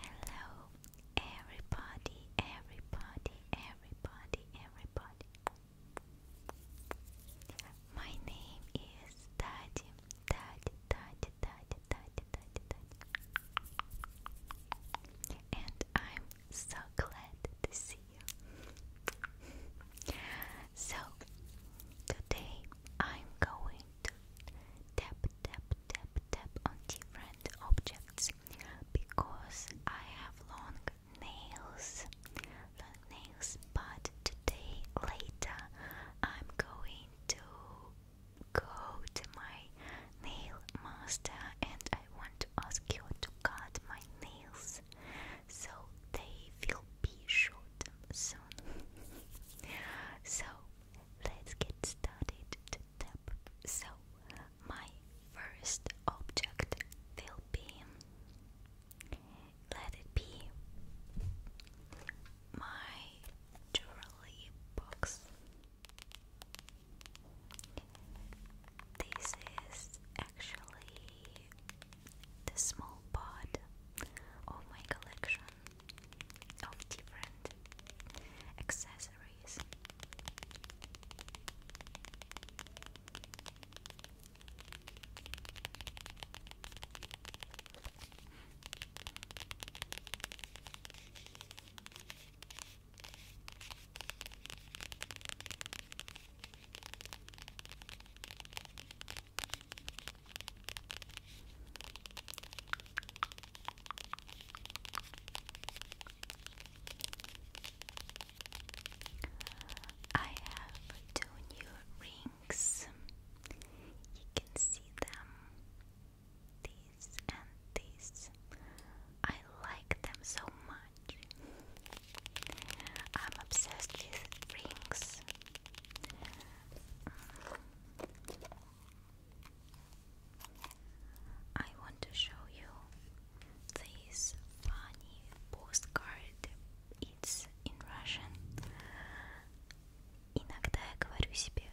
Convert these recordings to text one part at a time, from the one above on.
Hello, everybody, everybody, everybody, everybody. My name is Daddy, Daddy, Daddy, Daddy, Daddy, Daddy, Daddy, and I'm so glad to see you. so, today I'm going to tap, tap, tap, tap on different objects because I have long nails. Long nails, but today, later, I'm going to go to my nail master and I want to ask you to cut my nails so they will be short soon. so let's get started to So my first object will be let it be my jewelry box. This is actually the small part of my collection of different accessories. I have two new rings. You can see them these, and these. I like them so much. I'm obsessed with rings. I want to show you this funny postcard. It's in Russian. Иногда я говорю себе,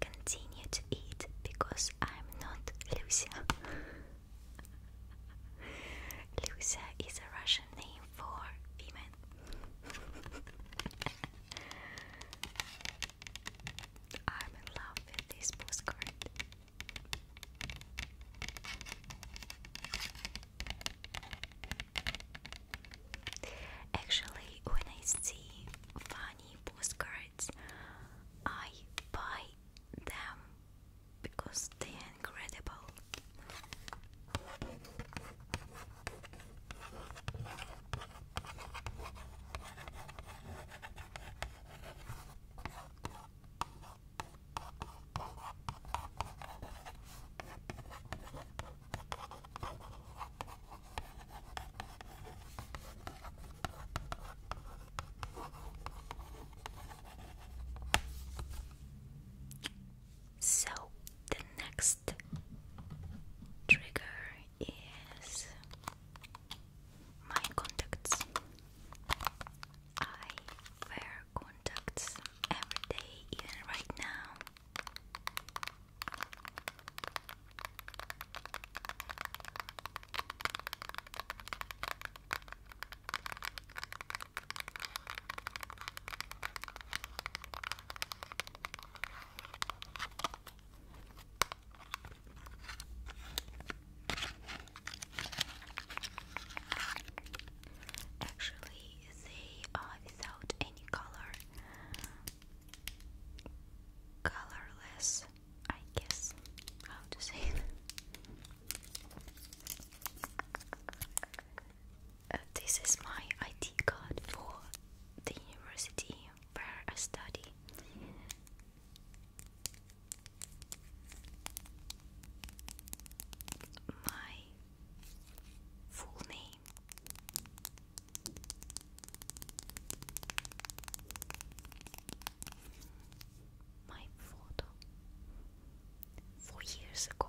continue to eat because I'm not Lucia. Lucia is a Russian name for women. I'm in love with this postcard. Actually, when I see funny postcard, cards. I buy them because they are incredible. So the next trigger is my contacts. I wear contacts every day, even right now. Actually, they are uh, without any color colorless, I guess. How to say it? Uh, this is my ID card for the university where I study. My full name my photo four years ago.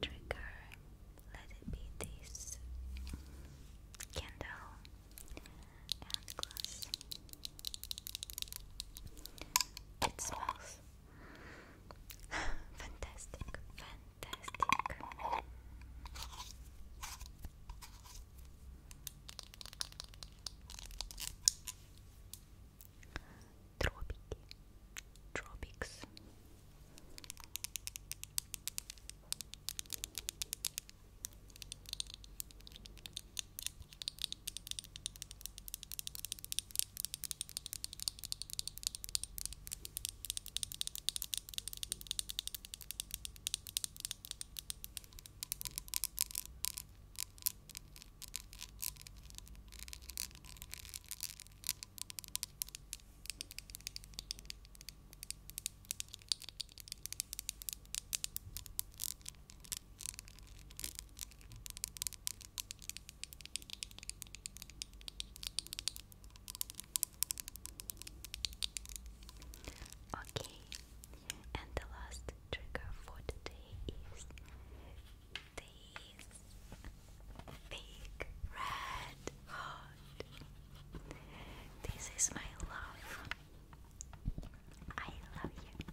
trigger, let it be this candle and glass. It smells fantastic, fantastic. Tropic, tropics. Okay, and the last trigger for today is these big red heart. This is my love. I love you.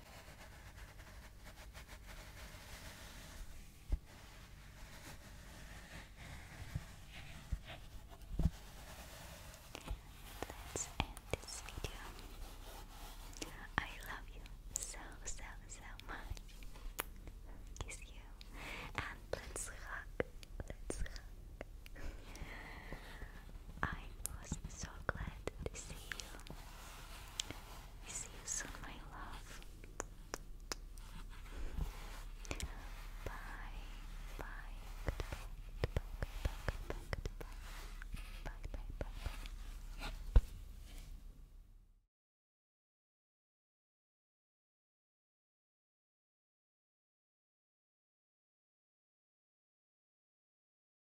Let's end this video. I love you so, so, so much. Kiss you. And let's hug. Let's hug. I was so glad to see you. See you soon, my love. Bye, bye, goodbye, goodbye, goodbye, goodbye, goodbye, bye, bye, bye, bye.